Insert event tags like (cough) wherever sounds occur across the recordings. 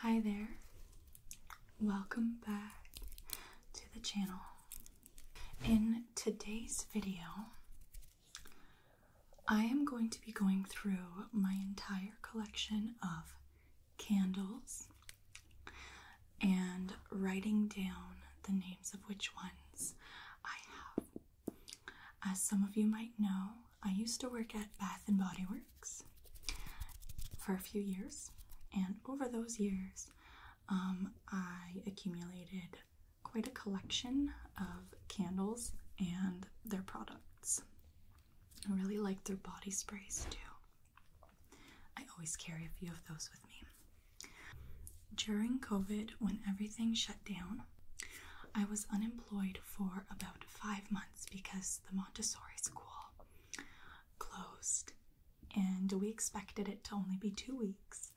Hi there. Welcome back to the channel. In today's video, I am going to be going through my entire collection of candles and writing down the names of which ones I have as some of you might know, I used to work at Bath and Body Works for a few years, and over those years, um, I accumulated quite a collection of candles and their products. I really like their body sprays too. I always carry a few of those with me. During COVID, when everything shut down, I was unemployed for about five months because the Montessori school closed, and we expected it to only be two weeks,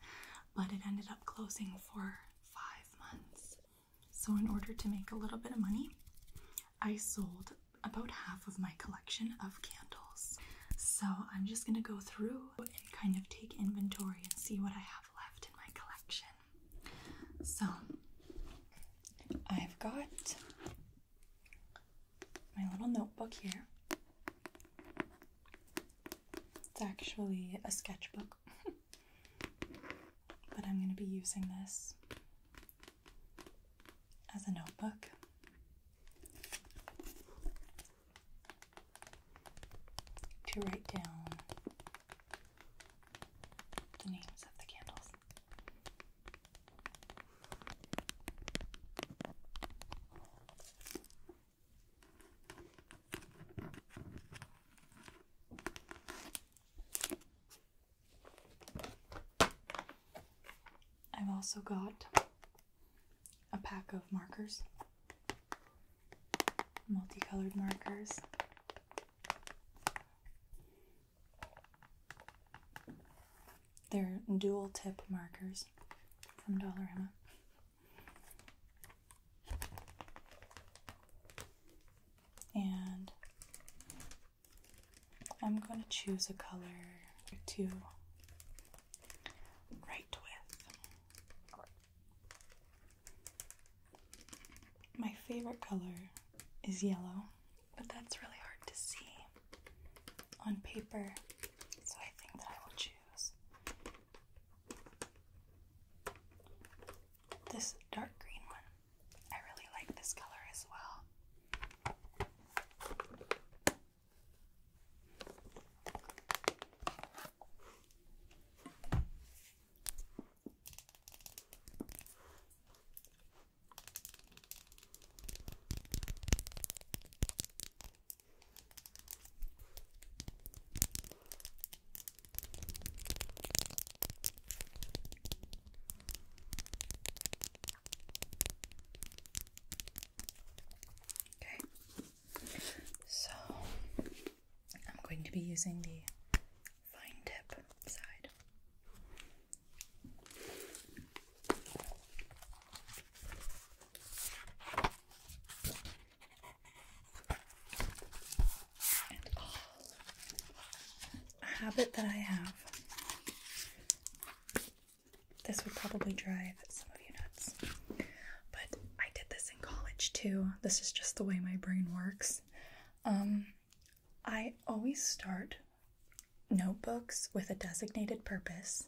but it ended up closing for five months. So, in order to make a little bit of money, I sold about half of my collection of candles. So, I'm just gonna go through and kind of take inventory and see what I have left in my collection. So I've got my little notebook here. It's actually a sketchbook, (laughs) but I'm going to be using this as a notebook. To write down the names of the candles. I've also got a pack of markers, multicolored markers they're dual tip markers from Dollarama. And I'm going to choose a color to write with. My favorite color is yellow, but that's really hard to see on paper, so I think that I will choose this dark green one. I really like this color as well. Okay, so I'm going to be using the fine tip side. And habit that I have. This would probably drive some of you nuts. But I did this in college too. This is just the way my brain works. Um, I always start notebooks with a designated purpose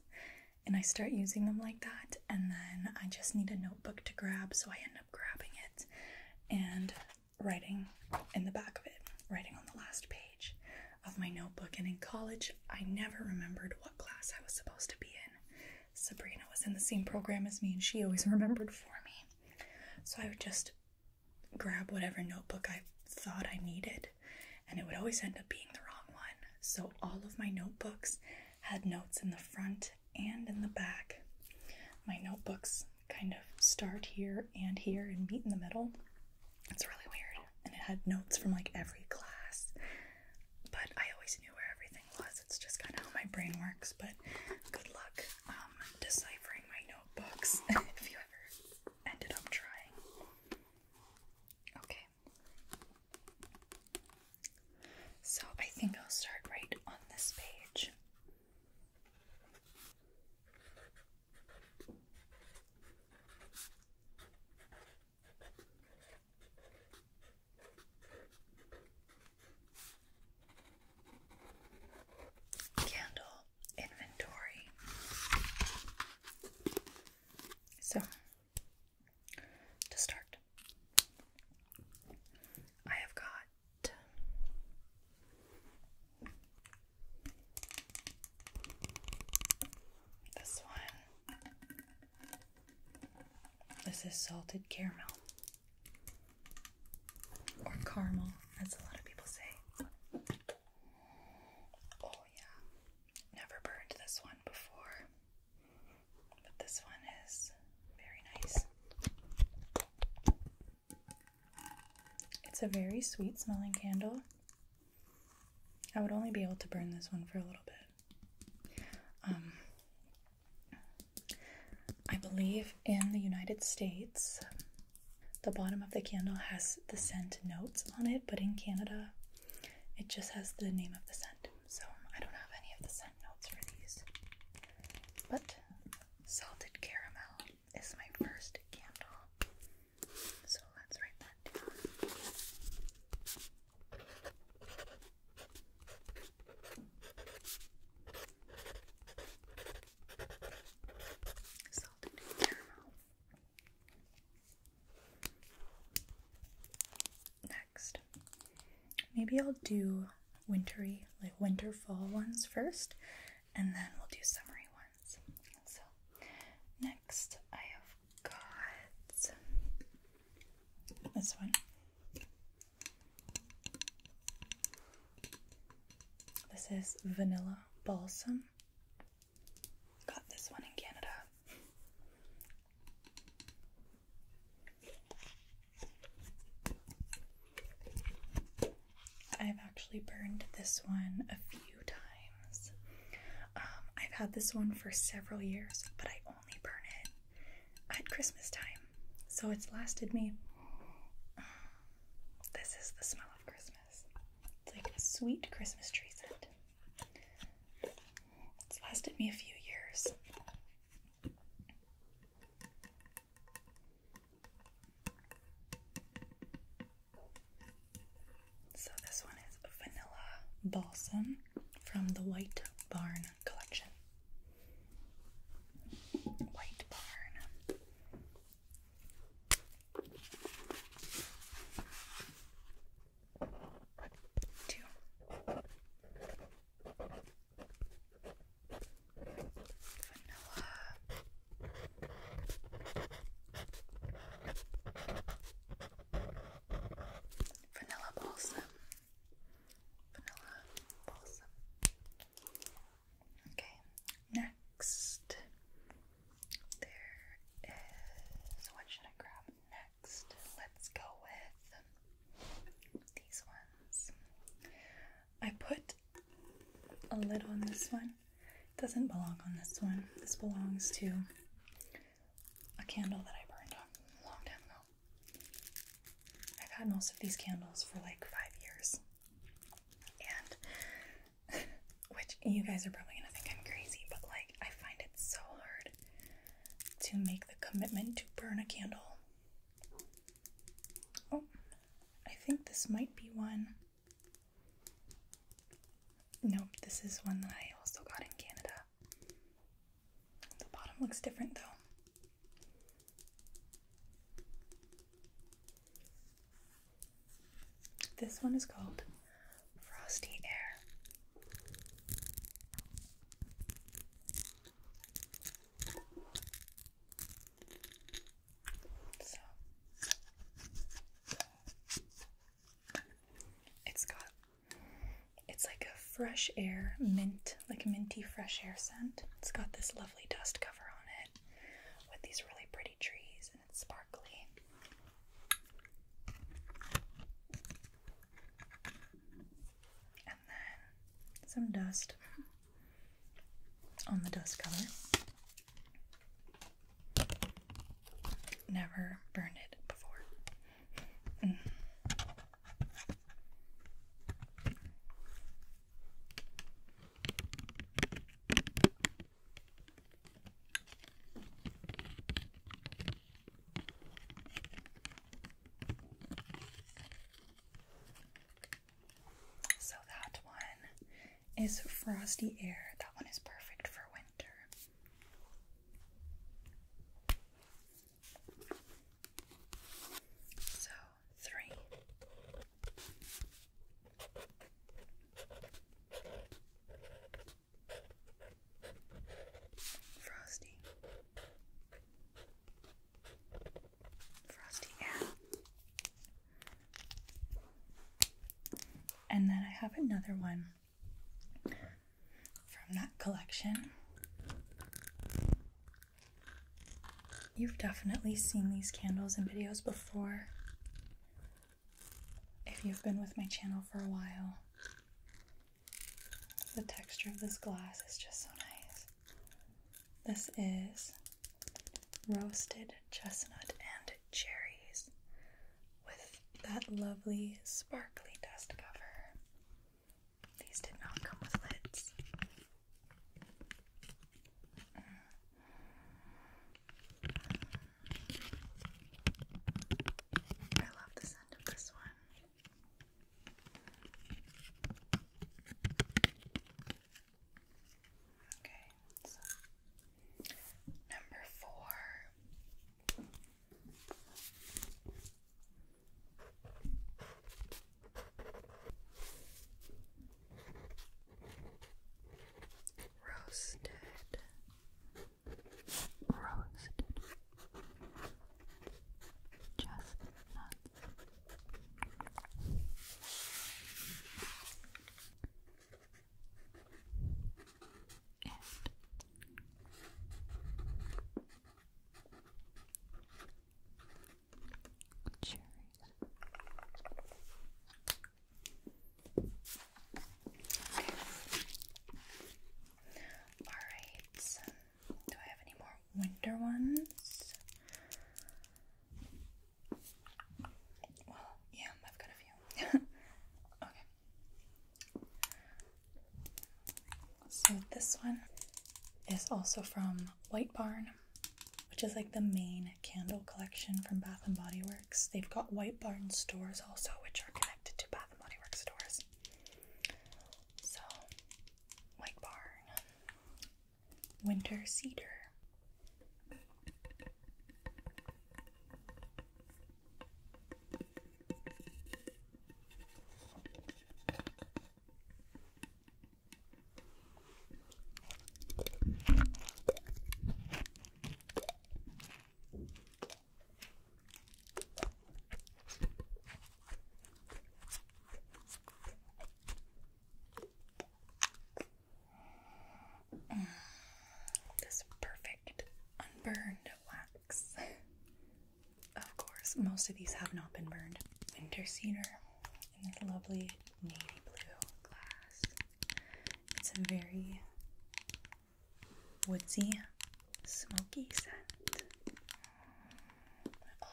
and I start using them like that, and then I just need a notebook to grab, so I end up grabbing it and writing in the back of it, writing on the last page of my notebook. And in college, I never remembered what class I was supposed to be in. Sabrina was in the same program as me, and she always remembered for me. So I would just grab whatever notebook I thought I needed, and it would always end up being the wrong one. So all of my notebooks had notes in the front and in the back. My notebooks kind of start here and here and meet in the middle. It's really weird. And it had notes from like every class. But I always knew where everything was. It's just kind of how my brain works. But good luck um, deciphering my notebooks (laughs) if you ever ended up trying. Okay. So I think I'll start right on this page. Candle inventory. So, to start, I have got this one. This is salted caramel. Or caramel, as a lot of people say. Oh, yeah. Never burned this one before. But this one is very nice. It's a very sweet smelling candle. I would only be able to burn this one for a little bit. Um, I believe in the United States, the bottom of the candle has the scent notes on it, but in Canada, it just has the name of the scent. So I don't have any of the scent notes for these. But salted caramel is my first candle. So let's write that down. Next, maybe I'll do wintery, like winter fall ones first, and then we'll do summery ones. So, next, I have got this one. This is vanilla balsam. Got this one in Canada. I've actually burned this one a few times. Um, I've had this one for several years, but I only burn it at Christmas time. So it's lasted me. (sighs) This is the smell of Christmas. It's like a sweet Christmas tree scent. It's lasted me a few years. So this one is Vanilla Balsam from the White Barn collection. White Barn. Two. Vanilla. Vanilla balsam. Vanilla balsam. Okay, next there is what should I grab next? Let's go with these ones. I put a lid on this one. It doesn't belong on this one. This belongs to a candle that I burned up a long time ago. I've had most of these candles for like five years. And (laughs) which you guys are probably gonna think I'm crazy, but like I find it so hard to make the commitment to burn a candle. Oh, I think this might be one. Nope, this is one that I also got in Canada. The bottom looks different though. This one is called Frosty Air. So it's got it's like a fresh air mint, like minty fresh air scent. It's got this lovely dust cover on it with these really pretty trees and it's sparkly. And then some dust on the dust color. Never burned it before. Mm. So that one is frosty air. That one is perfect for winter. So three. Frosty. Frosty, yeah. And then I have another one from that collection. You've definitely seen these candles in videos before. If you've been with my channel for a while, the texture of this glass is just so nice. This is roasted chestnut and cherries with that lovely sparkly dust cover. These did not come with lids. I love the scent of this one. Okay, number four. Roasted. Roasted. Chestnuts. And Alright, do I have any more winter ones? Well, yeah, I've got a few. (laughs) okay. So this one is also from White Barn which is like the main candle collection from Bath and Body Works. They've got White Barn stores also, which are connected to Bath and Body Works stores. So, White Barn, Winter Cedar this perfect unburned wax. of course, most of these have not been burned. Winter cedar and this lovely navy blue glass. It's a very woodsy, smoky scent. Oh,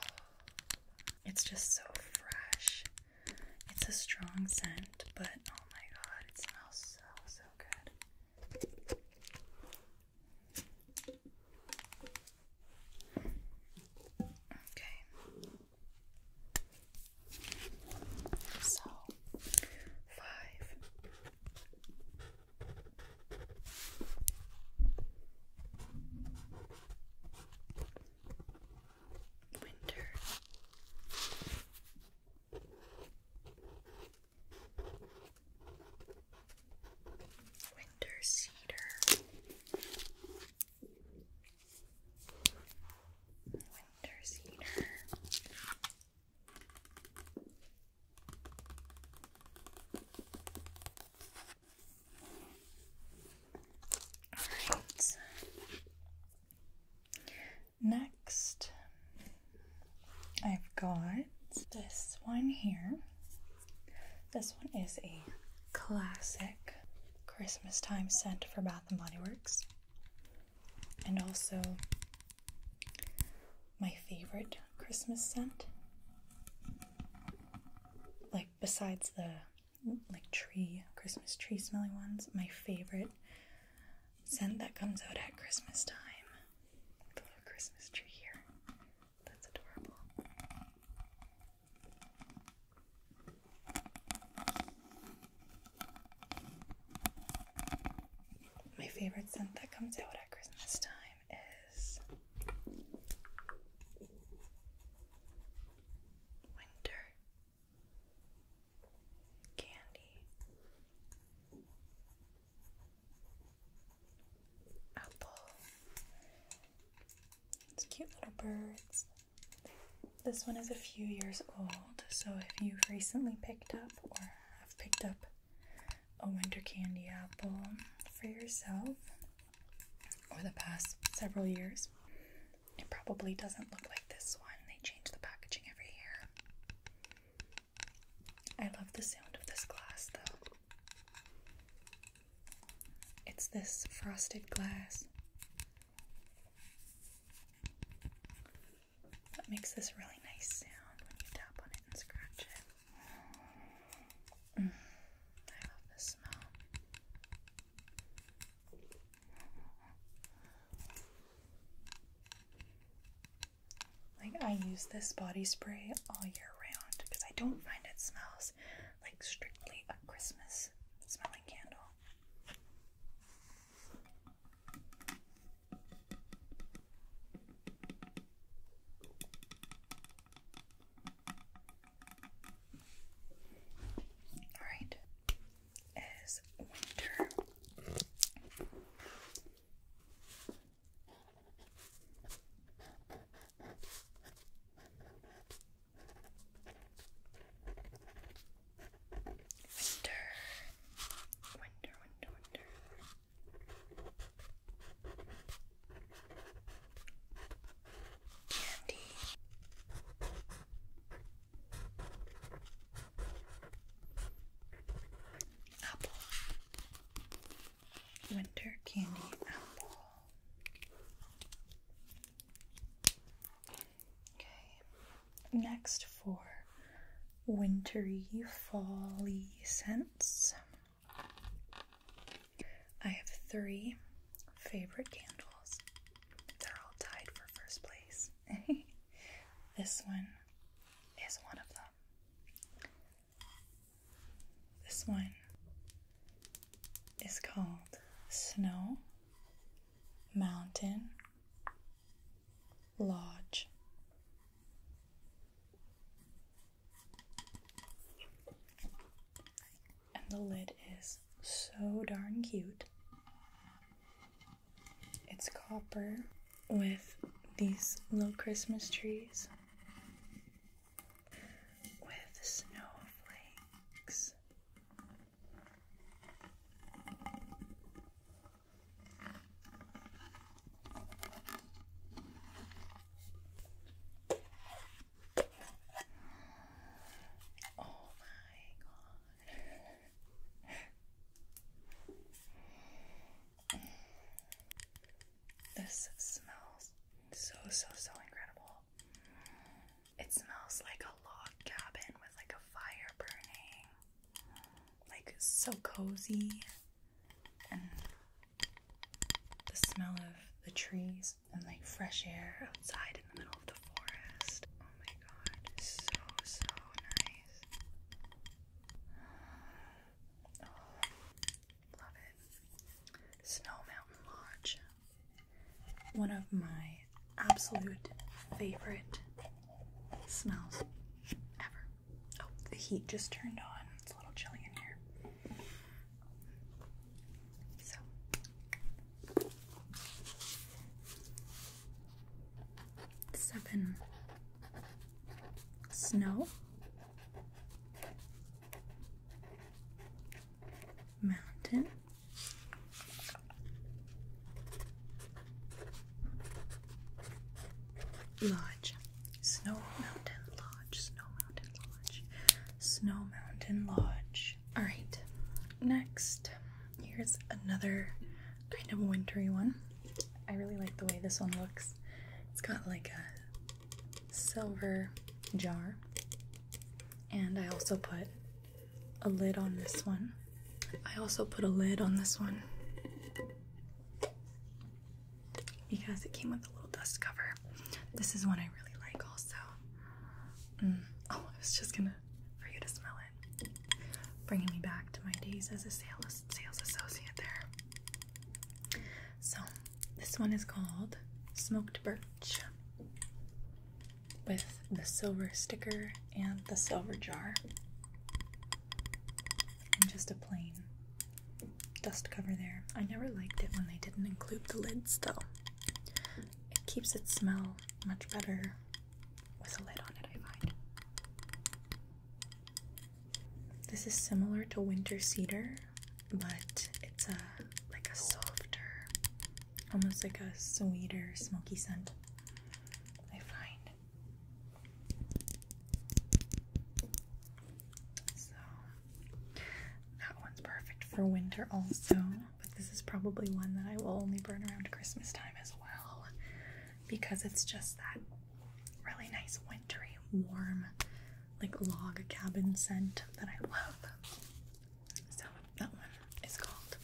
it's just so fresh. It's a strong scent, but oh my god, it smells so, so good. Okay, so, five. Winter. Winter cedar. Alright. Next, I've got this one here. This one is a classic Christmas time scent for bath. Bath and also my favorite Christmas scent. Like besides the like tree Christmas tree smelling ones, my favorite scent that comes out at Christmas time. Christmas tree here. That's adorable. My favorite scent that comes out at Christmas time is winter candy, apple. It's cute little birds. This one is a few years old, so if you've recently picked up or have picked up a winter candy apple for yourself or the past several years, it probably doesn't look like this one. They change the packaging every year. I love the sound of this glass though. It's this frosted glass. That makes this really nice sound when you tap on it and scratch it. Mm. I love this smell. Like, I use this body spray all year round because I don't find it smells like strictly a Christmas smell rolling candle. All right, Winter, winter, winter, winter. Candy. Apple. Winter candy apple. Okay. Next for wintry, fally scents. I have three favorite candles. They're all tied for first place. (laughs) this one is one of them. This one is called Snow Mountain large. And the lid is so darn cute. It's copper with these little Christmas trees with snowflakes Oh my god. (laughs) This smells so so so incredible. It smells like a log cabin with like a fire burning. Like so cozy. And the smell of the trees and like fresh air outside in the middle of the forest. Oh my god, so so nice. Oh, love it. Snow Mountain Lodge one of my absolute favorite smells ever. Oh, the heat just turned on. It's a little chilly in here. So. Seven snow mountain Lodge, Snow Mountain Lodge, Snow Mountain Lodge, Snow Mountain Lodge. Alright, next, here's another kind of wintry one. I really like the way this one looks. It's got like a silver jar, and I also put a lid on this one. I also put a lid on this one because it came with a little dust cover. This is one I really like, also. Mm. Oh, I was just gonna for you to smell it, bringing me back to my days as a sales sales associate there. So this one is called smoked birch with the silver sticker and the silver jar, and just a plain dust cover there. I never liked it when they didn't include the lids though. It keeps its smell much better with a lid on it, I find. This is similar to winter cedar, but it's a like a softer almost like a sweeter, smoky scent. I find so that one's perfect for winter, also. But this is probably one that I will only burn around Christmas time as well because it's just that really nice, wintry, warm, like log cabin scent that I love. So that one is called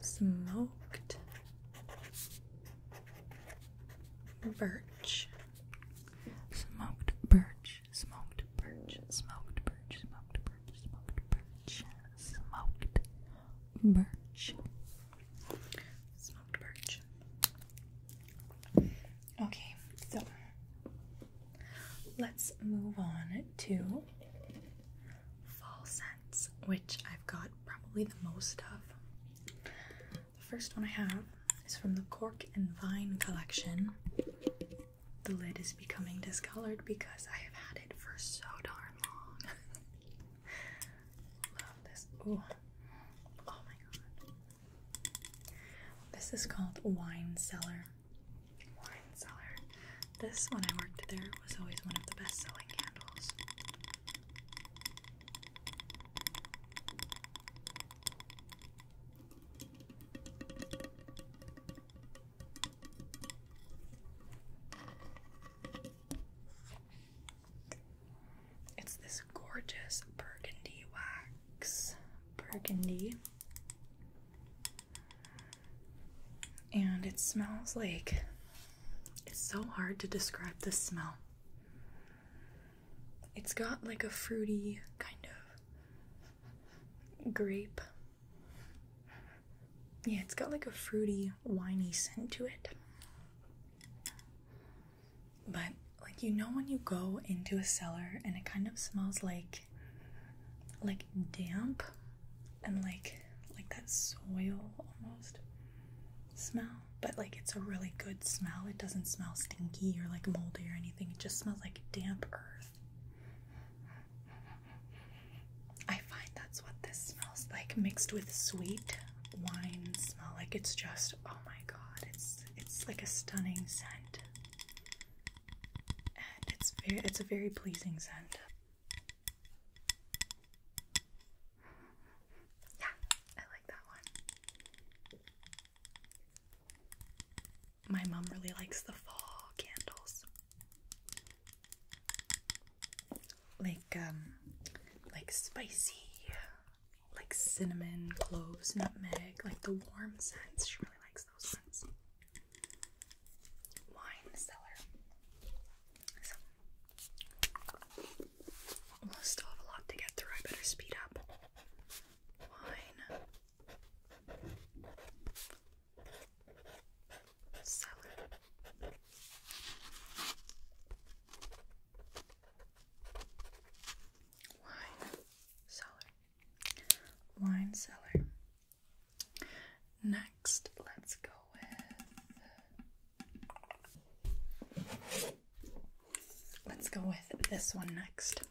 smoked birch, smoked birch, smoked birch, smoked birch, smoked birch, smoked birch, smoked birch, smoked birch. Okay, so let's move on to. Falsetto which I've got probably the most of. The first one I have is from the Cork and Vine collection. The lid is becoming discolored because I have had it for so darn long. (laughs) Love this. Oh my god. This is called Wine Cellar wine This, when I worked there, was always one of the best selling candles. It's this gorgeous burgundy wax. Burgundy and it smells like it's so hard to describe the smell. It's got like a fruity kind of grape. Yeah, it's got like a fruity, winey scent to it. But, like, you know, when you go into a cellar and it kind of smells like, like damp and like like that soil almost smell but like it's a really good smell it doesn't smell stinky or like moldy or anything it just smells like damp earth i find that's what this smells like mixed with sweet wine smell like it's just oh my god it's it's like a stunning scent it's it's a very pleasing scent yeah, I like that one. My mom really likes the fall candles. Like um like spicy, like cinnamon, cloves, nutmeg, like the warm scents. She really likes those scents. Wine cellar. I still have a lot to get through. I better speed up. Wine. Cellar. Wine cellar. Wine cellar. Next, let's go with let's go with this one next.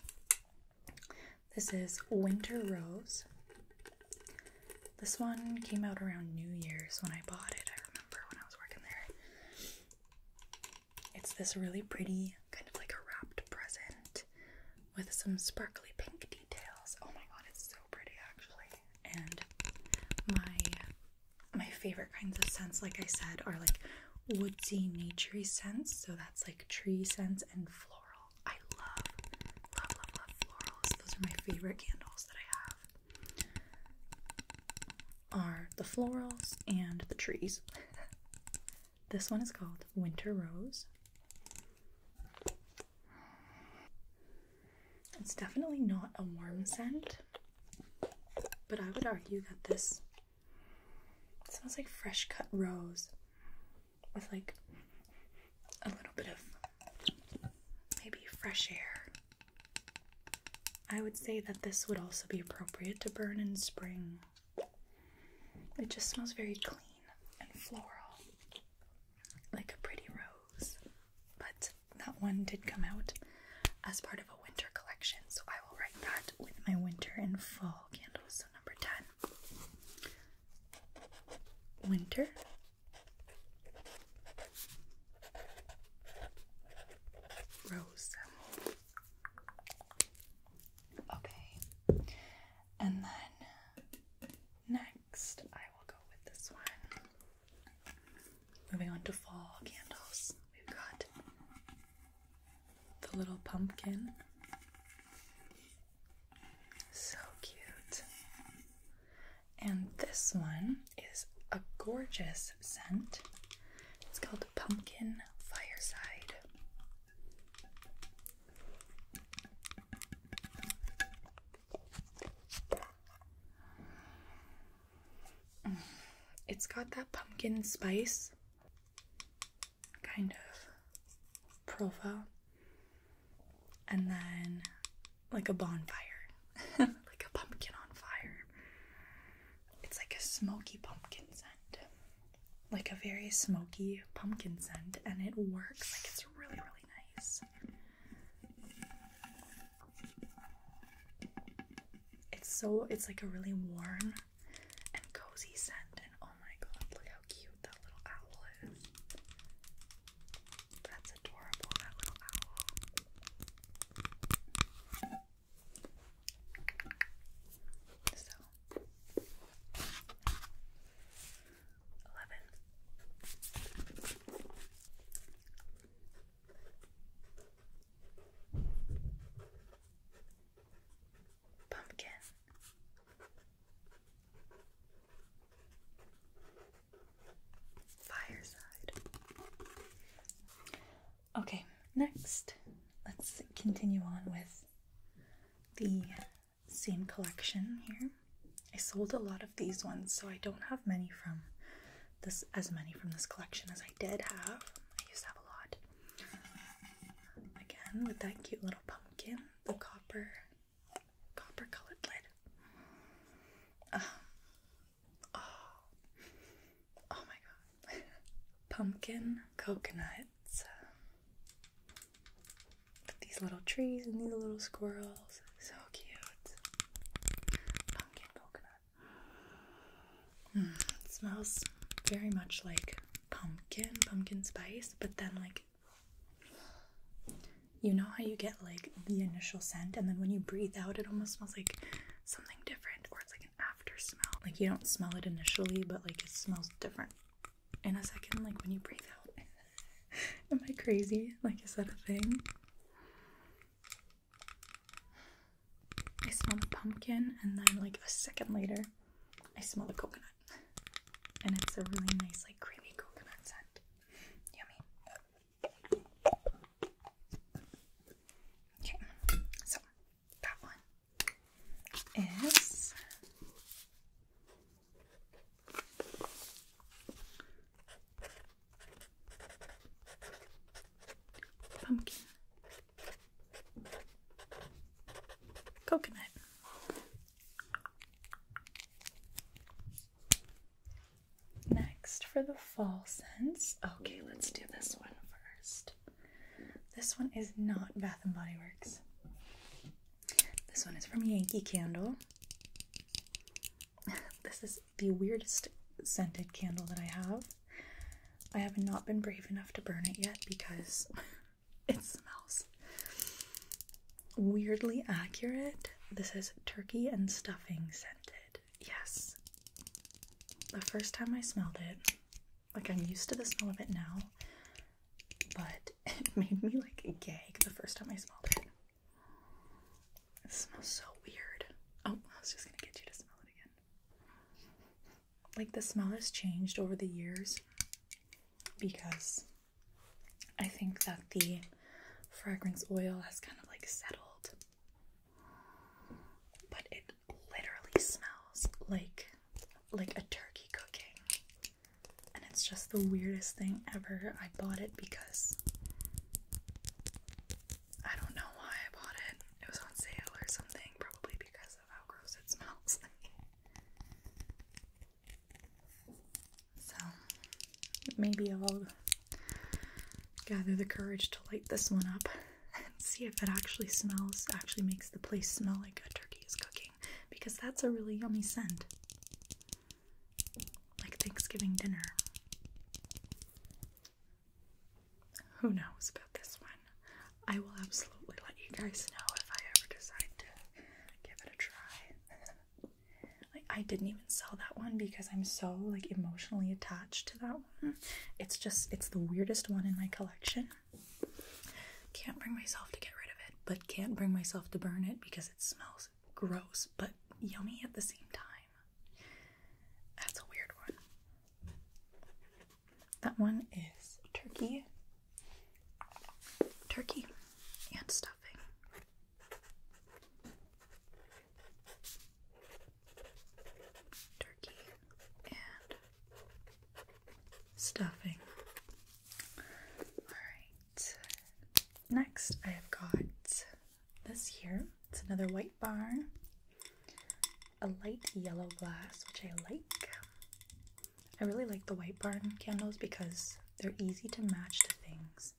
This is Winter Rose. This one came out around New Year's when I bought it. I remember when I was working there. It's this really pretty, kind of like a wrapped present with some sparkly pink details. Oh my god, it's so pretty actually and my my favorite kinds of scents, like I said, are like woodsy, naturey scents. So that's like tree scents and floral. I love, love, love, love florals. Those are my favorite candles that I have. Are the florals and the trees. (laughs) this one is called Winter Rose. It's definitely not a warm scent, but I would argue that this smells like fresh cut rose with like a little bit of maybe fresh air. I would say that this would also be appropriate to burn in spring. It just smells very clean and floral, like a pretty rose. But that one did come out as part of a winter collection, so I will write that with my winter and fall candles. So, number 10 winter. Rose. Okay. And then next I will go with this one. Moving on to fall candles, we've got the little pumpkin. So cute. And this one is a gorgeous scent. It's called Pumpkin Fireside. It's got that pumpkin spice kind of profile, and then like a bonfire, (laughs) like a pumpkin on fire. It's like a smoky pumpkin scent, like a very smoky pumpkin scent, and it works like it's really, really nice. It's so it's like a really warm and cozy scent and oh my god, look how cute that little owl is. That's adorable, that little owl. So 11 Pumpkin. Fireside. Okay, next, let's continue on with the same collection here. I sold a lot of these ones, so I don't have many from this as many from this collection as I did have. I used to have a lot. Again, with that cute little pumpkin, the copper, copper colored lid. Um, oh, oh my god, (laughs) pumpkin coconuts. Um, these little trees and these little squirrels, so cute. Pumpkin coconut. Hmm, it smells very much like pumpkin, pumpkin spice, but then like you know how you get like the initial scent and then when you breathe out it almost smells like something different or it's like an after smell. Like you don't smell it initially, but like it smells different in a second, like when you breathe out. (laughs) Am I crazy? Like is that a thing? I smell the pumpkin, and then like a second later, I smell the coconut. And it's a really nice, like creamy coconut scent. Yummy. Okay, so that one is pumpkin, coconut. Next, for the fall scents, okay, let's do this one first. This one is not Bath and Body Works. This one is from Yankee Candle. (laughs) this is the weirdest scented candle that I have. I have not been brave enough to burn it yet because (laughs) it smells weirdly accurate. This is turkey and stuffing scented. Yes. The first time I smelled it, like I'm used to the smell of it now, but (laughs) it made me like gag the first time I smelled it. It smells so weird. Oh, I was just gonna get you to smell it again. Like the smell has changed over the years because I think that the fragrance oil has kind of like settled, but it literally smells like like a turkey cooking, and it's just the weirdest thing ever. I bought it because I don't know why I bought it. It was on sale or something, probably because of how gross it smells. (laughs) so, maybe I'll gather the courage to light this one up and see if it actually smells, actually makes the place smell like a turkey is cooking, because that's a really yummy scent like Thanksgiving dinner. Who knows about this one? I will absolutely let you guys know if I ever decide to give it a try. (laughs) I didn't even sell that one because I'm so like emotionally attached to that one. It's just it's the weirdest one in my collection. Can't bring myself to get rid of it, but can't bring myself to burn it because it smells gross but yummy at the same time. That's a weird one. That one is turkey, turkey, and stuffing. Turkey and stuffing. Alright, next I've got this here. It's another white bar, a light yellow glass, which I like. I really like the white bar candles because they're easy to match to things.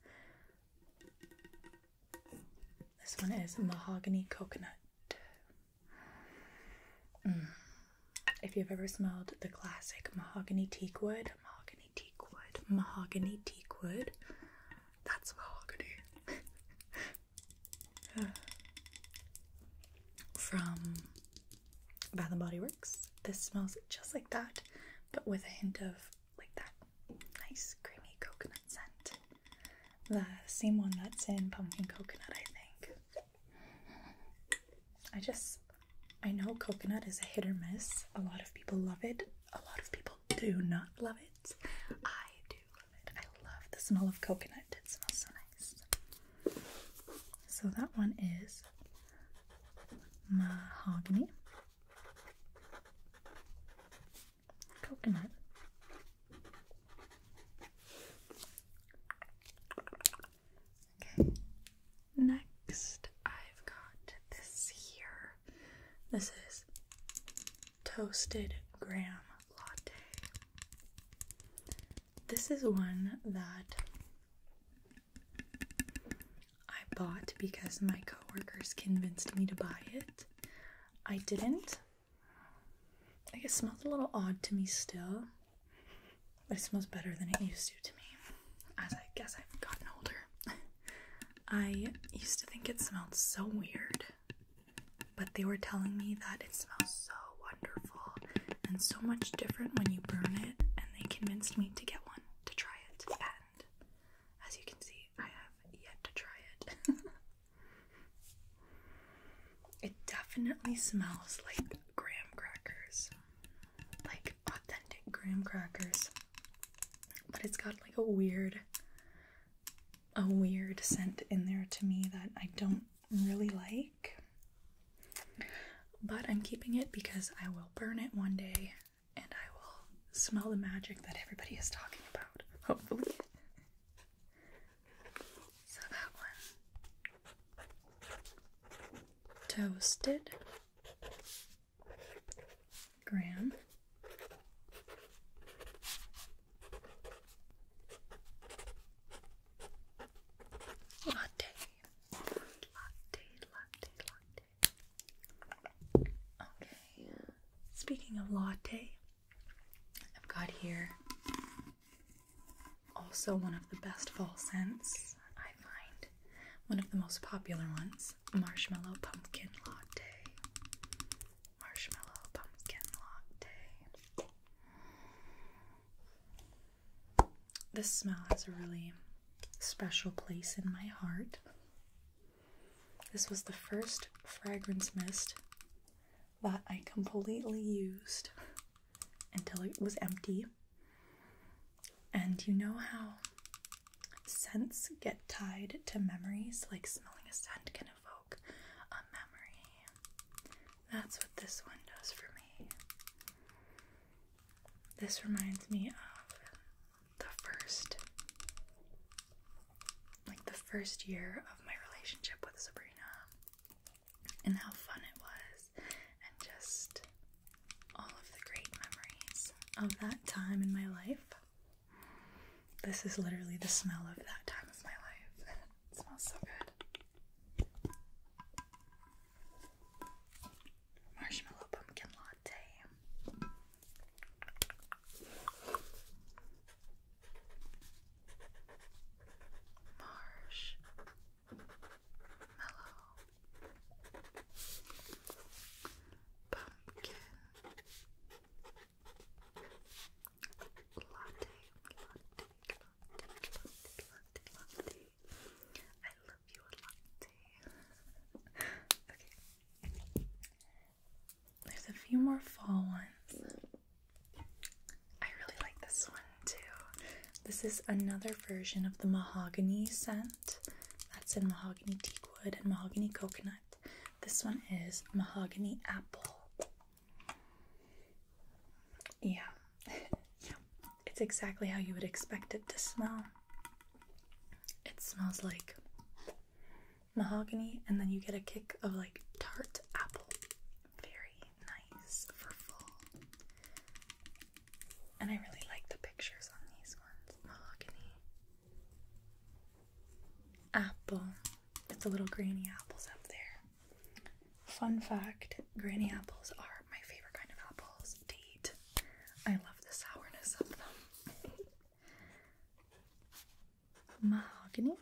This one is mahogany coconut. Mm. If you've ever smelled the classic mahogany teakwood, mahogany teakwood, mahogany teakwood, that's mahogany. (laughs) uh, from Bath and Body Works. This smells just like that, but with a hint of like that nice creamy coconut scent. The same one that's in pumpkin coconut, I think. I just, I know coconut is a hit or miss. A lot of people love it, a lot of people do not love it. I do love it. I love and I love coconut. It smells so nice. So that one is mahogany. Coconut. Okay. Next, I've got this here. This is toasted graham latte. This is one that I bought because my coworkers convinced me to buy it. I didn't. I guess smells a little odd to me still. But it smells better than it used to to me. As I guess I've gotten older. (laughs) I used to think it smelled so weird, but they were telling me that it smells so wonderful and so much different when you burn it, and they convinced me to get one to try it. And as you can see, I have yet to try it. (laughs) it definitely smells like graham crackers, like authentic graham crackers, but it's got like a weird a weird scent in there to me that I don't really like. But I'm keeping it because I will burn it one day and I will smell the magic that everybody is talking about, hopefully. so that one. Toasted. Graham. Latte. Latte, latte, latte. Okay. Speaking of latte, I've got here also one of the best fall scents, I find. One of the most popular ones, marshmallow pumpkin latte marshmallow pumpkin latte. This smell has a really special place in my heart. This was the first fragrance mist that I completely used until it was empty. And you know how Scents get tied to memories, like smelling a scent can evoke a memory. That's what this one does for me. This reminds me of the first, like the first year of my relationship with Sabrina and how fun it was, and just all of the great memories of that time in my life. This is literally the smell of that time of my life. (laughs) it smells so good. Marshmallow pumpkin latte. Marsh. Pumpkin. Latte, latte, latte, latte, latte. I love you latte. okay. There's a few more fall ones. I really like this one too. This is another version of the mahogany scent that's in mahogany teak wood and mahogany coconut. This one is mahogany apple. Yeah. (laughs) yeah. It's exactly how you would expect it to smell. It smells like mahogany and then you get a kick of like tart apple. Very nice, fruitful. And I really like the pictures on these ones. Mahogany apple. It's a little granny apples up there. Fun fact granny apples are my favorite kind of apples to eat. I love the sourness of them. Mahogany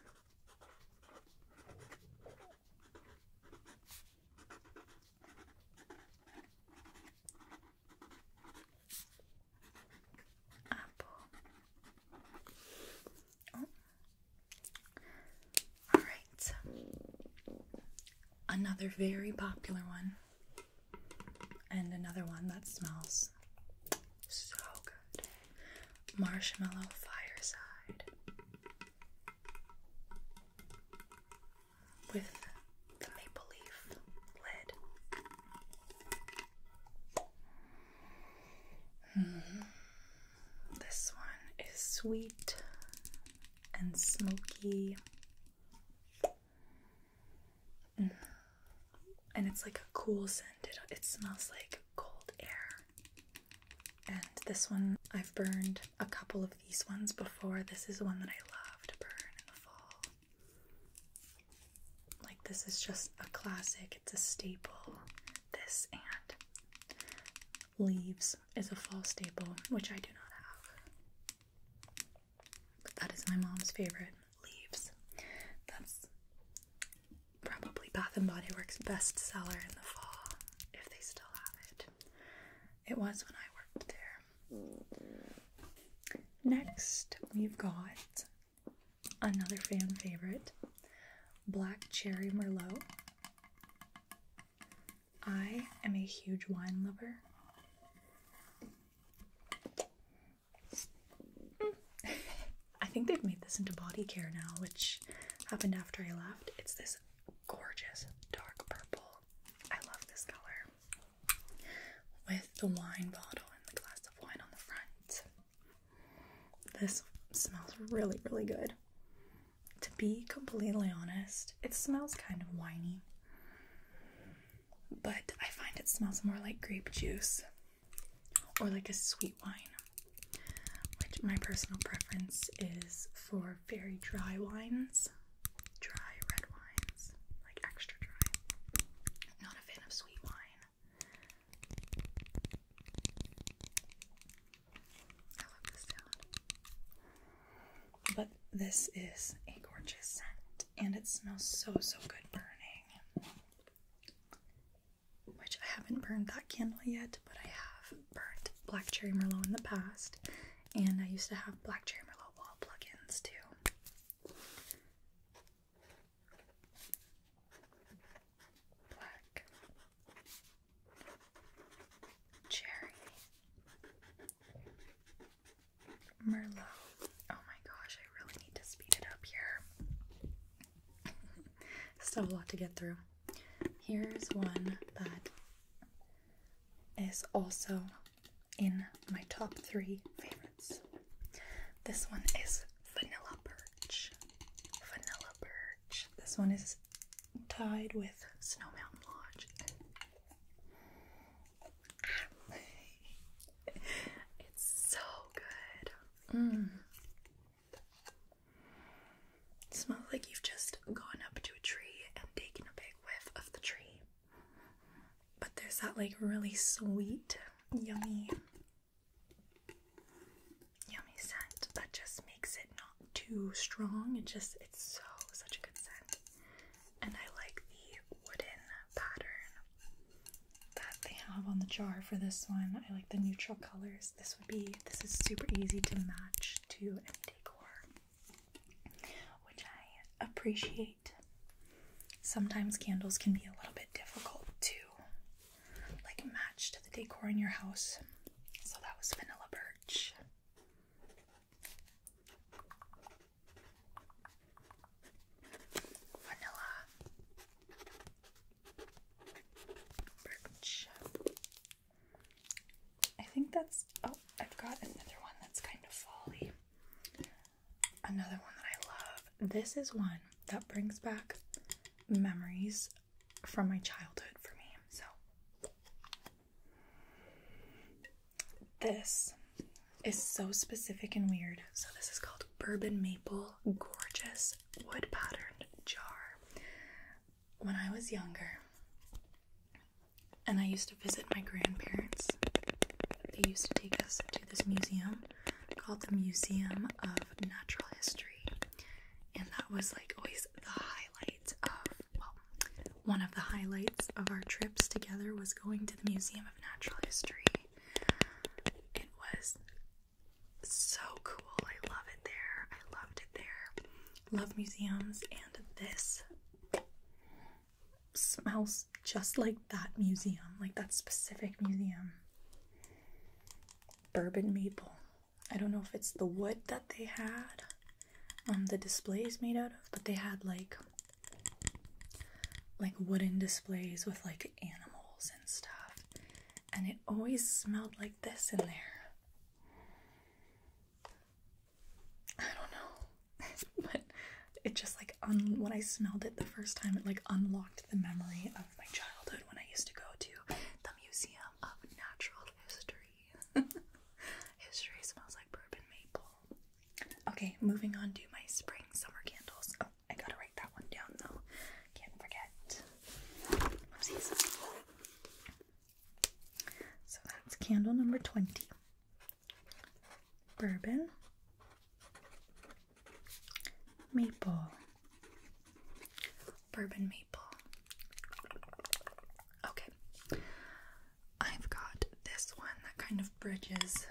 apple. Oh. All right. Another very popular one, and another one that smells so good marshmallow fireside with the maple leaf lid. Mm-hmm. This one is sweet and smoky. Mm. And it's like a cool scent. It, smells like cold air. And this one, I've burned a couple of these ones before. This is one that I love burn in the fall. Like, this is just a classic, it's a staple. This and leaves is a fall staple, which I do not have. But that is my mom's favorite leaves. That's probably Bath and Body Works' best seller in the fall, if they still have it. It was when I worked there. Next, we've got Another fan favorite, Black Cherry Merlot. I am a huge wine lover. (laughs) I think they've made this into body care now, which happened after I left. It's this gorgeous dark purple. I love this color. With the wine bottle and the glass of wine on the front. This smells really, really good. To be completely honest, it smells kind of winey, but I find it smells more like grape juice or like a sweet wine, which my personal preference is for very dry wines, dry red wines, like extra dry. Not a fan of sweet wine. But this is a gorgeous scent, and it smells so, so good burning. Which I haven't burned that candle yet, but I have burnt Black Cherry Merlot in the past, and I used to have Black Cherry Merlot wall plugins too black, cherry, merlot. Oh my gosh, I really need to speed it up here. (laughs) Still a lot to get through. Here's one that is also in my top three favorites. This one is vanilla perch. Vanilla perch. This one is tied with Snow Mountain Lodge. (laughs) it's so good. Mm. smells like you've just gone up to a tree and taken a big whiff of the tree. But there's that like really sweet, yummy Yummy scent that just makes it not too strong. It just it's so such a good scent. And I like the wooden pattern that they have on the jar for this one. I like the neutral colors. This would be this is super easy to match to any decor. Which I appreciate. Sometimes candles can be a little bit difficult too like match to the decor in your house. So that was vanilla birch. Vanilla birch. I think that's oh, I've got another one that's kind of folly. Another one that I love. This is one that brings back memories from my childhood for me. So, this is so specific and weird. So, this is called Bourbon Maple Gorgeous Wood Patterned Jar. When I was younger, and I used to visit my grandparents, they used to take us to this museum called the Museum of Natural History, and that was like always the highlight of well, one of the highlights of our trips together was going to the Museum of Natural History. It was so cool. I love it there. I loved it there. Love museums, and this smells just like that museum, like that specific museum bourbon maple. I don't know if it's the wood that they had, um, the display is made out of, but they had like like wooden displays with like animals and stuff, and it always smelled like this in there. I don't know, (laughs) but it just like un- when I smelled it the first time, it like unlocked the memory of my childhood when I used to go to the Museum of Natural History. (laughs) History smells like bourbon maple. Okay, moving on to my spring summer candles. Oh, I gotta write that one down though. Can't forget. So that's candle number 20. Bourbon maple, bourbon maple. Okay, I've got this one that kind of bridges.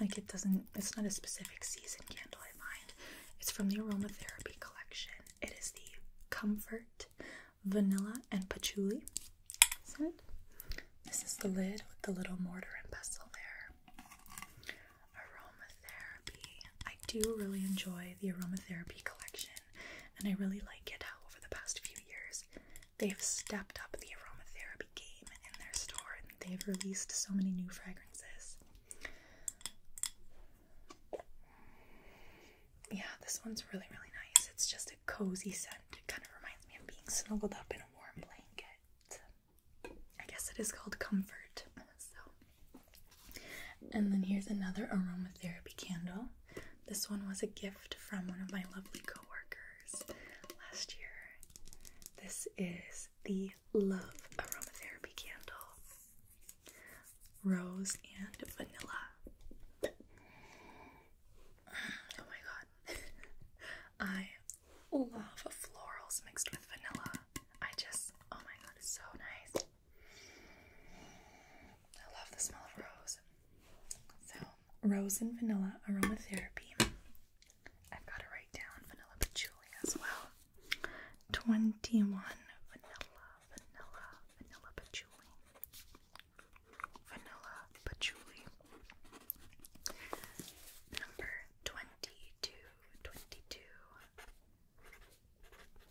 Like it doesn't, it's not a specific season candle, I find. It's from the aromatherapy collection. It is the Comfort Vanilla and Patchouli scent. This is the lid with the little mortar and pestle there. Aromatherapy. I do really enjoy the aromatherapy collection, and I really like it how over the past few years they've stepped up the aromatherapy game in their store and they've released so many new fragrances. Yeah, this one's really, really nice. It's just a cozy scent. It kind of reminds me of being snuggled up in a warm blanket. I guess it is called Comfort. (laughs) So, and then here's another aromatherapy candle. This one was a gift from one of my lovely coworkers last year. This is the Love Aromatherapy candle, rose and vanilla. (sighs) Oh my god, (laughs) I love florals mixed with vanilla. I just, oh my god, it's so nice. I love the smell of rose. So, rose and vanilla aromatherapy. I've got to write down vanilla patchouli as well. 21 vanilla, vanilla, vanilla patchouli. Vanilla patchouli. Number 22, 22,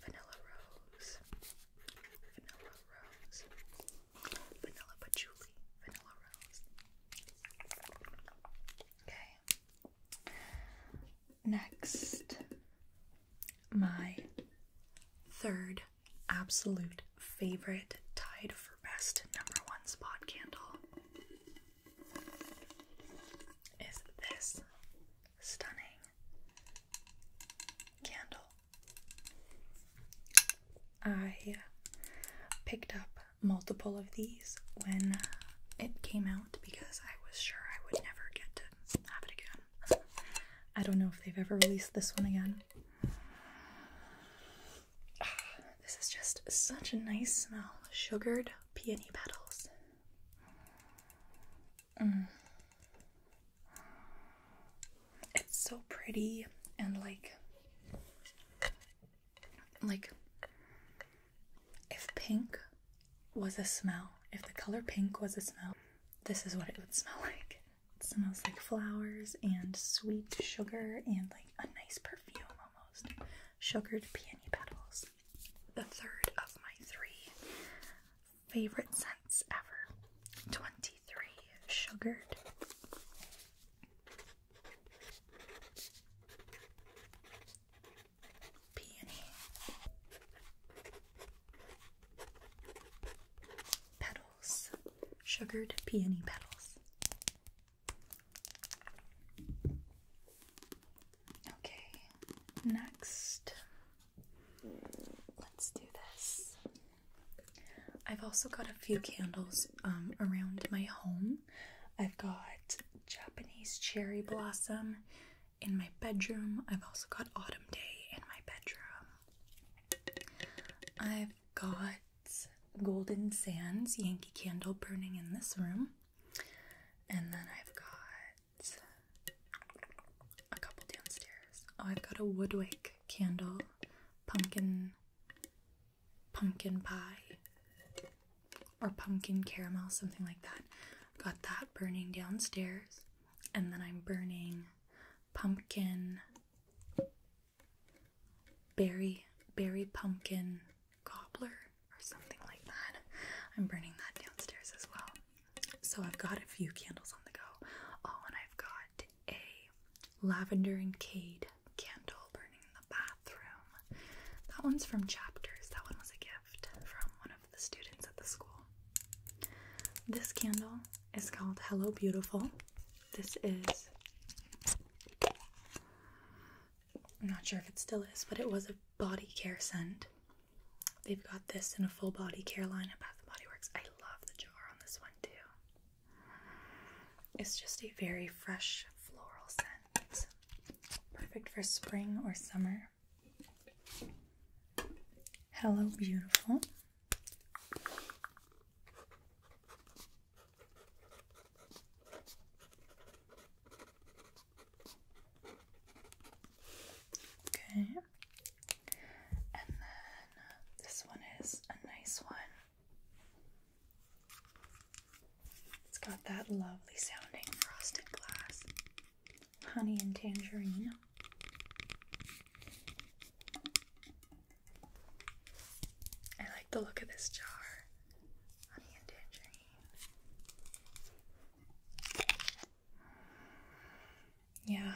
vanilla rose, vanilla rose, vanilla patchouli, vanilla rose. Okay. Next, my third absolute favorite tied for best number one spot candle is this stunning candle. I picked up multiple of these when it came out because I was sure I would never get to have it again. I don't know if they've ever released this one again. Ah, this is just such a nice smell. Sugared peony petals. Mm. It's so pretty and like like if pink was a smell, if the color pink was a smell, this is what it would smell (laughs) like. It smells like flowers and sweet sugar and like a nice perfume almost. Sugared peony petals the third of my three favorite scents ever 23 Sugared. Peony. Petals. Sugared peony petals. Okay, next. Let's do this. I've also got a few candles um, around my home. I've got Japanese cherry blossom in my bedroom. I've also got autumn day in my bedroom. I've got golden sands Yankee candle burning in this room. And then I've got a couple downstairs. Oh, I've got a Woodwick candle, pumpkin, pumpkin pie, or pumpkin caramel, something like that. got that burning downstairs, and then I'm burning pumpkin berry berry pumpkin cobbler or something like that. I'm burning that downstairs as well. So I've got a few candles on the go. Oh, and I've got a lavender and cade candle burning in the bathroom. That one's from Chapters. That one was a gift from one of the students at the school. This candle is called Hello Beautiful. This is I'm not sure if it still is, but it was a body care scent They've got this in a full body care line at Bath and Body Works. I love the jar on this one too. It's just a very fresh floral scent. Perfect for spring or summer. Hello, beautiful. Okay. And then this one is a nice one. It's got that lovely sounding frosted glass, honey and tangerine. I like the look of this jar, honey and tangerine. Yeah,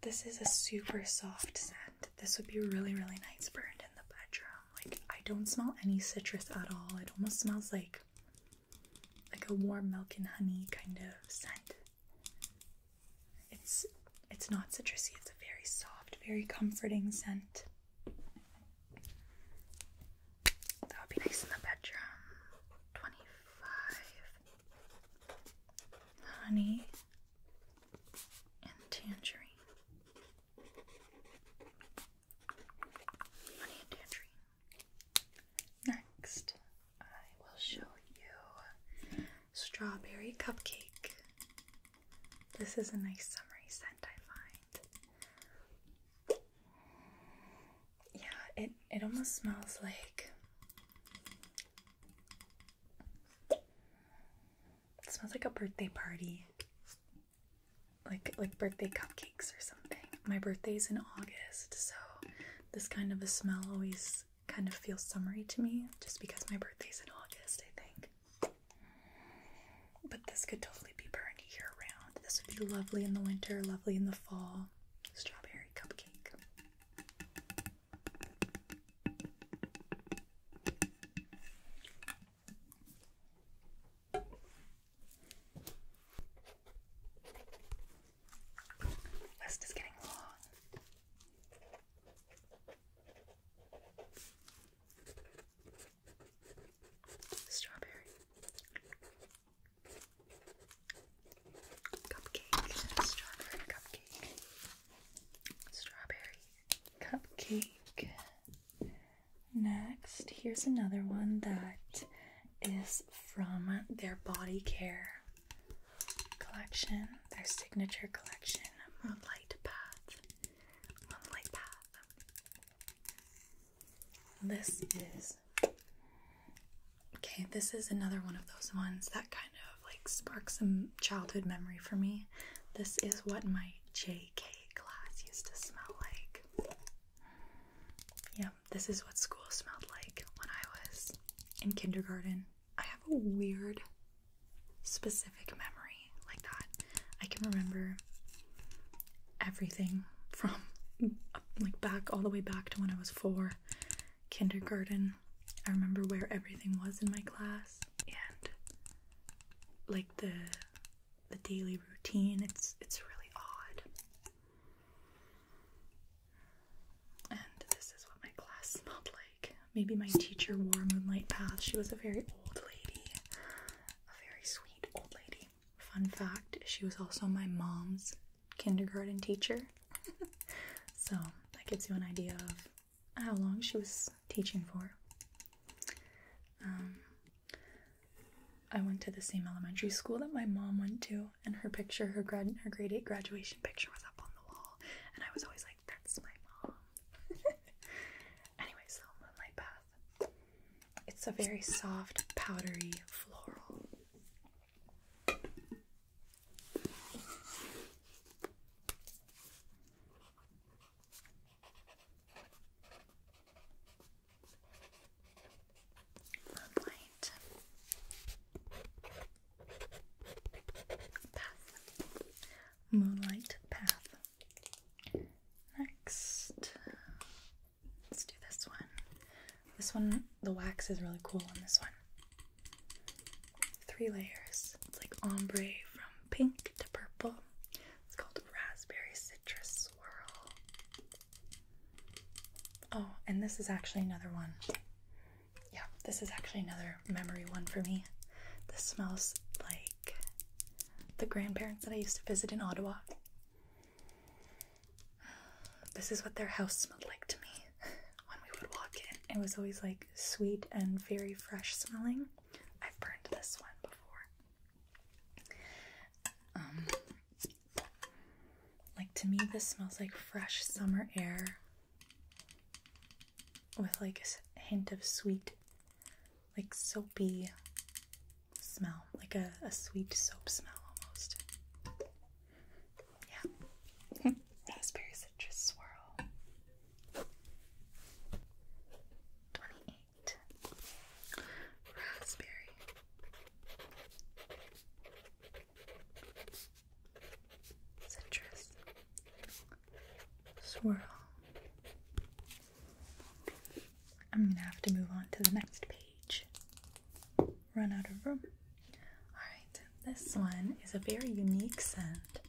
this is a super soft scent. This would be really, really nice burned in the bedroom. Like, I don't smell any citrus at all. It almost smells like like a warm milk and honey kind of scent. It's it's not citrusy. It's a very soft, very comforting scent. That would be nice in the bedroom. 25. Honey and tangerine. Honey and tangerine. Next, I will show you strawberry cupcake. This is a nice summery scent, I find. Yeah, it it almost smells like it smells like a birthday party. Like like birthday cupcakes or something. My birthday's in August, so this kind of a smell always kind of feels summery to me just because my birthday's in August, I think. But this could totally be burned year round. This would be lovely in the winter, lovely in the fall. Strawberry cupcake. List is getting long. Strawberry, Cupcake, strawberry cupcake, strawberry cupcake. Next, here's another one that is from their body care collection, their signature collection, Moonlight Path. Moonlight Path. This is okay. This is another one of those ones that kind of like sparks some childhood memory for me. This is what my JK class used to smell like. Yeah, this is what school smelled like when I was in kindergarten. I have a weird, specific memory like that. I can remember everything from like back all the way back to when I was four, kindergarten. I remember where everything was in my class and like the the daily routine. It's it's really odd. And this is what my class smelled like. Maybe my teacher wore moonlight path. She was a very old lady, a very sweet old lady. Fun fact she was also my mom's kindergarten teacher. (laughs) so that gives you an idea of how long she was teaching for. Um, I went to the same elementary school that my mom went to, and her picture, her, grad, her grade 8 graduation picture, was up on the wall, and I was always like, that's my mom. (laughs) anyway, so Moonlight Path. It's a very soft, powdery floral. Moonlight. Path. Moonlight path. Next, Let's do this one. This one, the wax is really cool on this one. Three layers. It's like ombre from pink to purple. It's called Raspberry Citrus Swirl. Oh, and this is actually another one. Yeah, this is actually another memory one for me. This smells like the grandparents that I used to visit in Ottawa. This is what their house smelled like to me (laughs) when we would walk in. It was always like sweet and very fresh smelling. I've burned this one before. Um, like to me, this smells like fresh summer air with like a hint of sweet, like soapy smell, like a, a sweet soap smell almost. Yeah. (laughs) Raspberry citrus swirl. 28. Raspberry. Citrus. Swirl. I'm going to have to move on to the next page. Run out of room. Alright, this one is a very unique scent.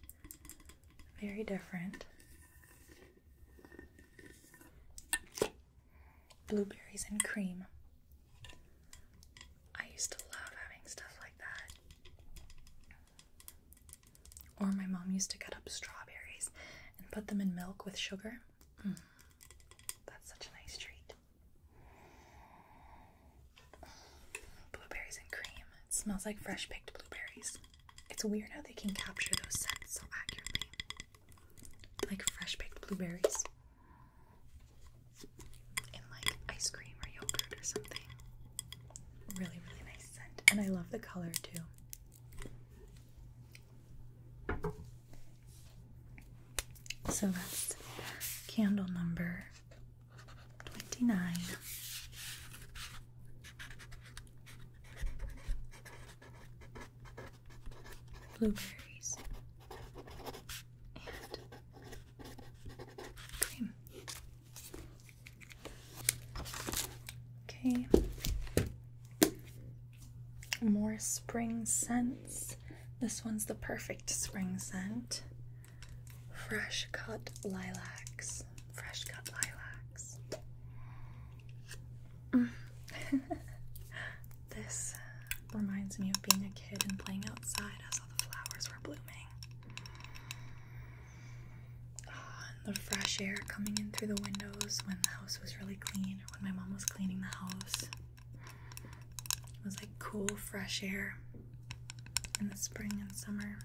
Very different. Blueberries and cream. I used to love having stuff like that. Or my mom used to cut up strawberries and put them in milk with sugar. Mm. That's such a nice treat. Blueberries and cream. It smells like fresh picked blueberries. It's weird how they can capture those scents so accurately. Like fresh picked blueberries. In like ice cream or yogurt or something. Really, really nice scent. And I love the color too. So that's candle number 29. Blueberries and cream. Okay more spring scents. This one's the perfect spring scent. Fresh cut lilacs. Fresh cut lilacs. (laughs) this reminds me of being a kid and playing outside as all the flowers were blooming. Ah, and the fresh air coming in through the windows when the house was really clean, or when my mom was cleaning the house. It was like cool, fresh air in the spring and summer.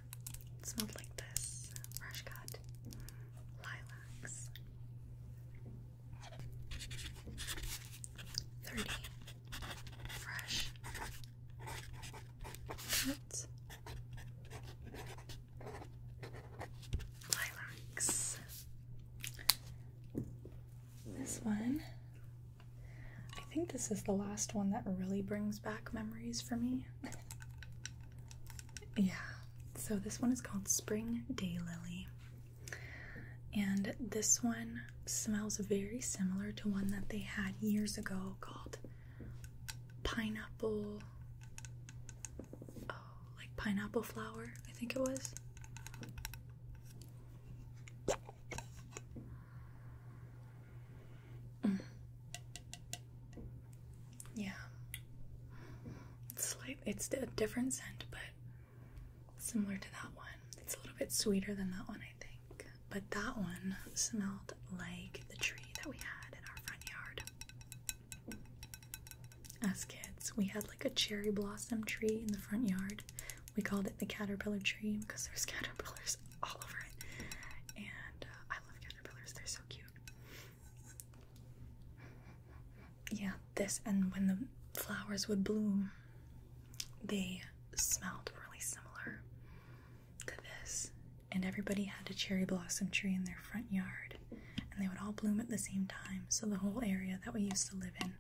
It smelled like this fresh cut lilacs. 30 fresh cut lilacs. This one. I think this is the last one that really brings back memories for me. (laughs) yeah. So this one is called Spring Day Lily, And this one smells very similar to one that they had years ago called pineapple oh, like pineapple flower, I think it was. Yeah. It's like it's a different scent, but similar to that one. It's a little bit sweeter than that one, I think. But that one smelled like the tree that we had in our front yard. As kids, we had like a cherry blossom tree in the front yard we called it the caterpillar tree because there's caterpillars (laughs) all over it. And uh, I love caterpillars, they're so cute. Yeah, this and when the flowers would bloom, they smelled really similar to this. And everybody had a cherry blossom tree in their front yard, and they would all bloom at the same time. So the whole area that we used to live in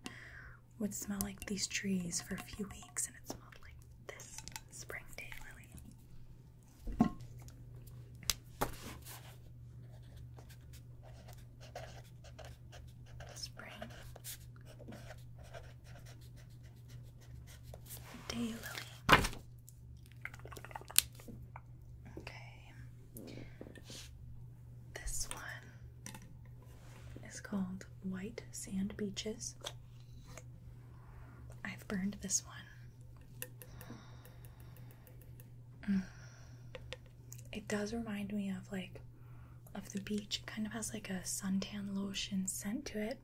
would smell like these trees for a few weeks, and it smelled like this spring day lily. Spring day lily. Okay. This one it's called White Sand Beaches. I've burned this one. Mm. It does remind me of like of the beach. It kind of has like a suntan lotion scent to it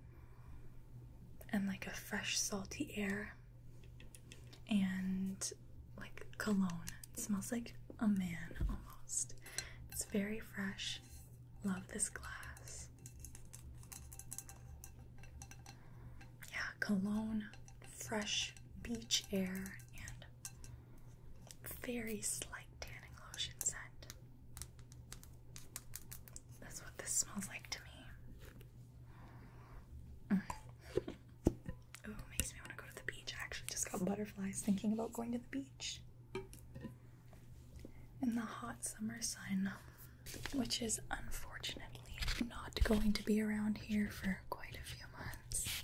and like a fresh salty air and like cologne smells like a man almost. It's very fresh. Love this glass. Yeah, cologne, fresh beach air, and very slight tanning lotion scent. That's what this smells like to me. Mm. Oh, makes me want to go to the beach. I actually just got butterflies thinking about going to the beach in the hot summer sun, which is unfortunately not going to be around here for quite a few months.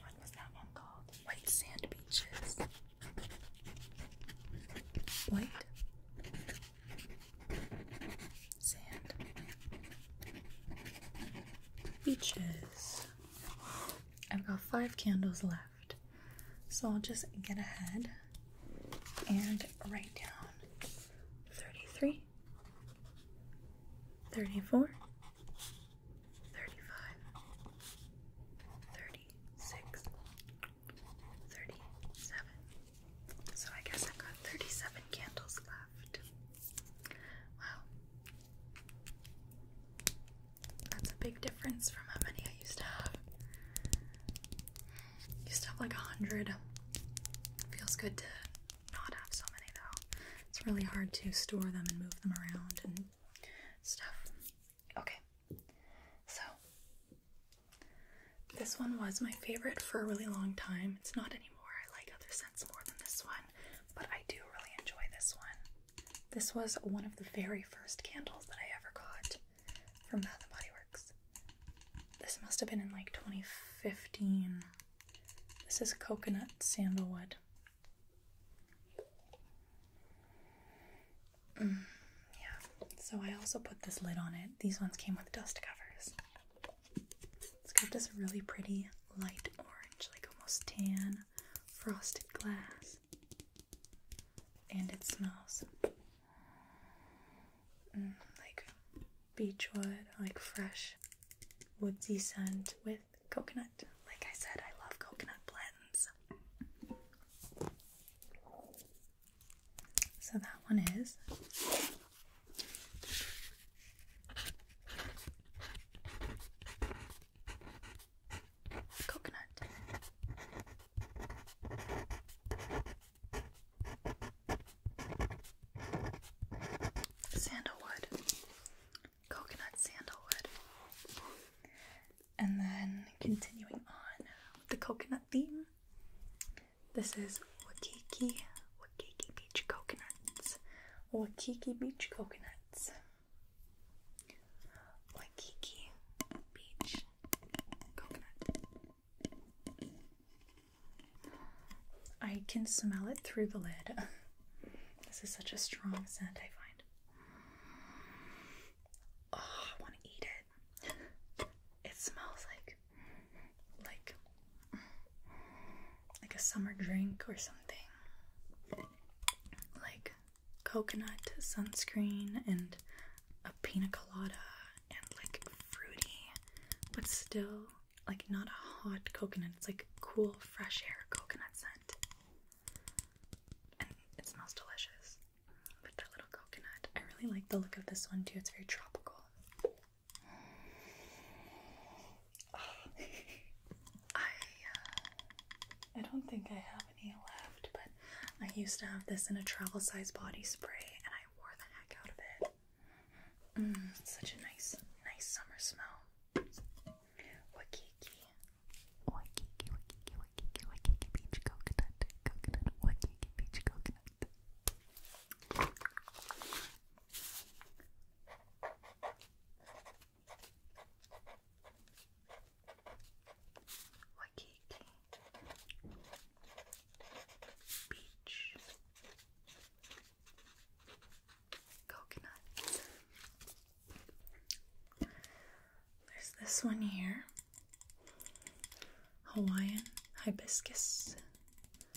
What was that one called? White sand beaches. White sand beaches. I've got five candles left. So I'll just get ahead and write down 33, 34, 35, 36, 37. So I guess I've got 37 candles left. Wow. That's a big difference from how many I used to have. Used to have like a hundred. Feels good to not have so many though. It's really hard to store them and move them around and stuff. Okay, so this one was my favorite for a really long time. It's not anymore. I like other scents more than this one, but I do really enjoy this one. This was one of the very first candles that I ever got from Bath and Body Works. This must have been in like 2015. This is coconut sandalwood. Mm, yeah, so I also put this lid on it. These ones came with dust covers. It's got this really pretty light orange, like almost tan frosted glass. And it smells mm, like beechwood, like fresh woodsy scent with coconut. Like I said, I love coconut blends. So that one is. Coconut. Sandalwood. Coconut sandalwood. And then continuing on with the coconut theme, this is Wakiki, Wakiki Beach Coconuts. Wakiki Beach Coconuts. Waikiki Beach Coconut. I can smell it through the lid. (laughs) This is such a strong scent, I find. Oh, I want to eat it. It smells like like like a summer drink or something. Like coconut sunscreen and a pina colada and like fruity, but still like not a hot coconut. It's like cool, fresh air coconut scent. And it smells delicious with the little coconut. I really like the look of this one too. It's very tropical. I uh, I don't think I have any left, but I used to have this in a travel size body spray and I wore the heck out of it. Mm, such a nice, nice summer smell. Wakiki. Wakiki, wakiki, wakiki, wakiki beach coconut, coconut, wakiki beach coconut. Waikiki Beach Coconut. There's this one here Hawaiian hibiscus.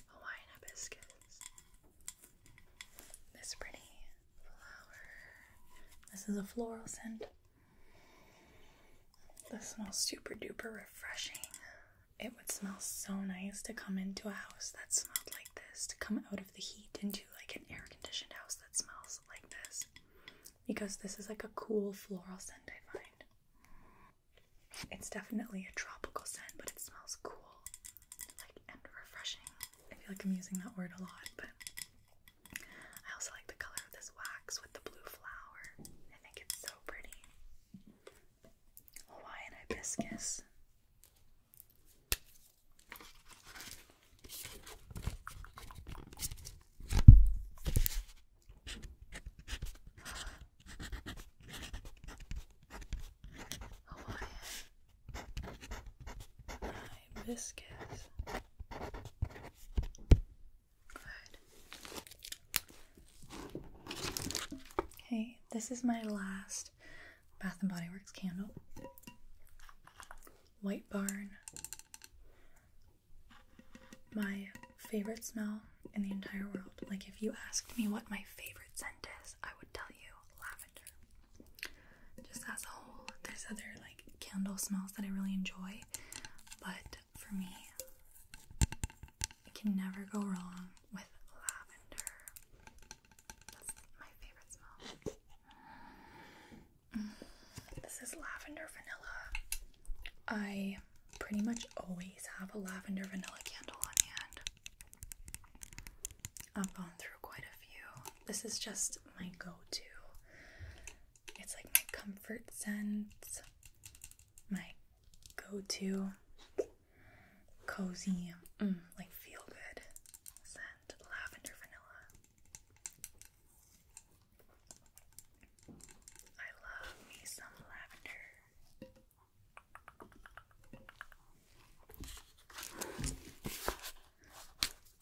Hawaiian hibiscus. This pretty flower. This is a floral scent. This smells super duper refreshing. It would smell so nice to come into a house that smelled like this, to come out of the heat into like an air conditioned house that smells like this. Because this is like a cool floral scent, I find. It's definitely a tropical scent, but it smells cool like and refreshing. I feel like I'm using that word a lot, but I also like the color of this wax with the blue flower. I it's so pretty. Hawaiian hibiscus hibiscus. Okay, this is my last Bath and Body Works candle. White Barn. My favorite smell in the entire world. Like, if you asked me what my favorite scent is, I would tell you lavender just as a whole, there's other like candle smells that I really enjoy, but for me, it can never go wrong with lavender. That's my favorite smell. Mm, this is lavender vanilla. I pretty much always have a lavender vanilla candle on hand. I've gone through quite a few. This is just my go to. It's like my comfort scent, my go to cozy, mm, like feel good scent, lavender vanilla. I love me some lavender. Lavender, vanilla, vanilla,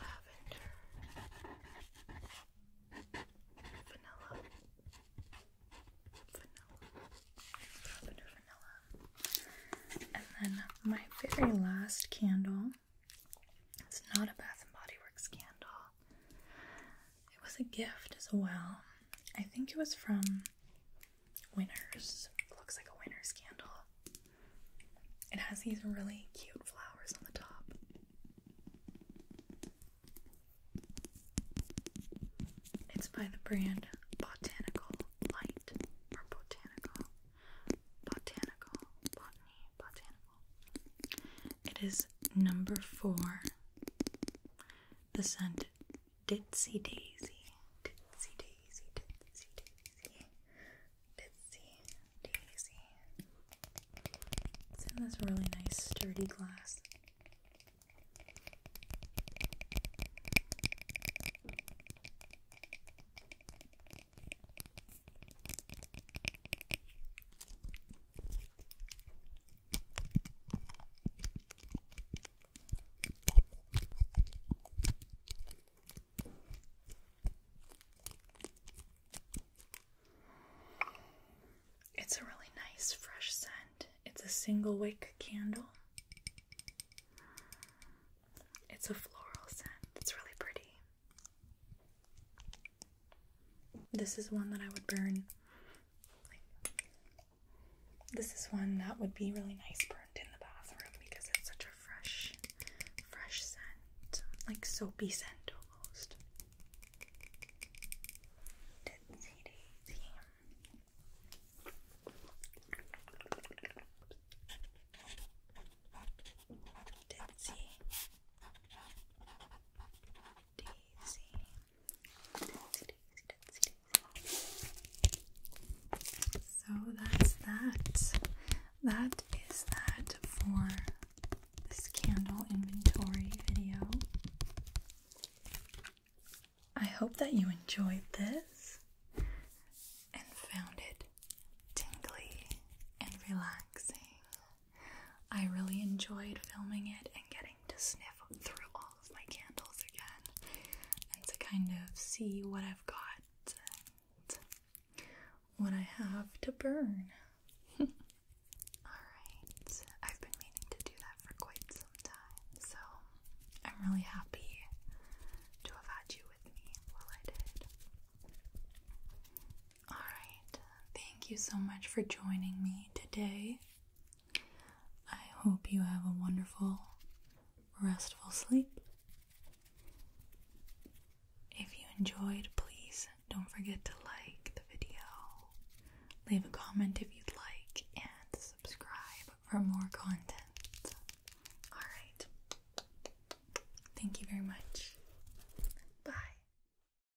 lavender, vanilla, and then my very last candle. It's not a Bath and Body Works candle. It was a gift as well. I think it was from Winners. It looks like a winner's candle. It has these really cute flowers on the top. It's by the brand Botanical Light or Botanical. Botanical, Botany, Botanical. It is number four. The scent Ditsy Daisy. Ditsy Daisy, Ditsy Daisy, Ditsy Daisy. It's in this really nice sturdy glass. It's a really nice fresh scent. It's a single wick candle. It's a floral scent. It's really pretty. This is one that I would burn. this is one that would be really nice burned in the bathroom because it's such a fresh, fresh scent, like soapy scent almost. So that's that. That is that for this candle inventory video. I hope that you enjoyed this and found it tingly and relaxing. I really enjoyed filming it and getting to sniff through all of my candles again and to kind of see what I've got and what I have to burn. (laughs) Alright, I've been meaning to do that for quite some time, so I'm really happy to have had you with me while I did. All right. Thank you so much for joining me today. I hope you have a wonderful, restful sleep. If you enjoyed, please don't forget to like the video, leave a comment if you'd like, and subscribe for more content. Alright. Thank you very much. Bye.